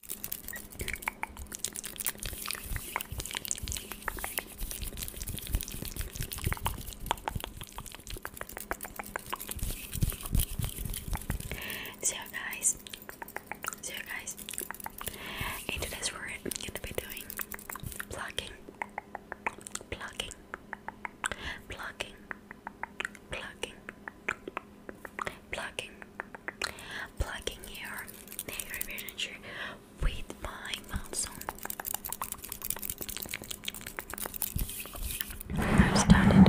So guys, so guys, today's we're going to be doing plucking, plucking, plucking, plucking, plucking, plucking your negative energy with my mouth i am started.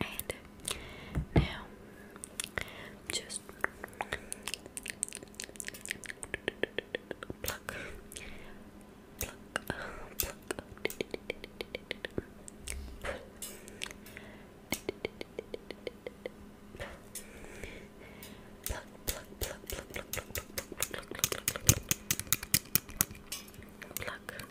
And now, just pluck, pluck, pluck, pluck, pluck, pluck, pluck, pluck, pluck, pluck, pluck, pluck, pluck, pluck, pluck, pluck, pluck,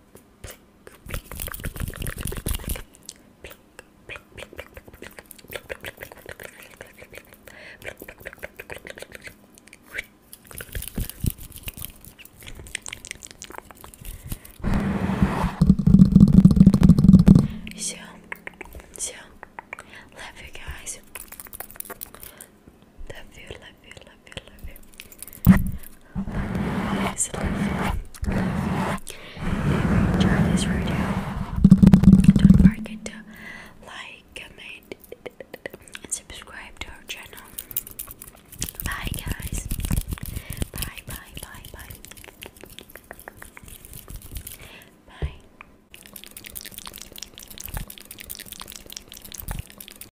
So, so, love you guys. Love love you, don't forget to like, comment, and subscribe to our channel. Bye, guys. Bye, bye, bye, bye. Bye.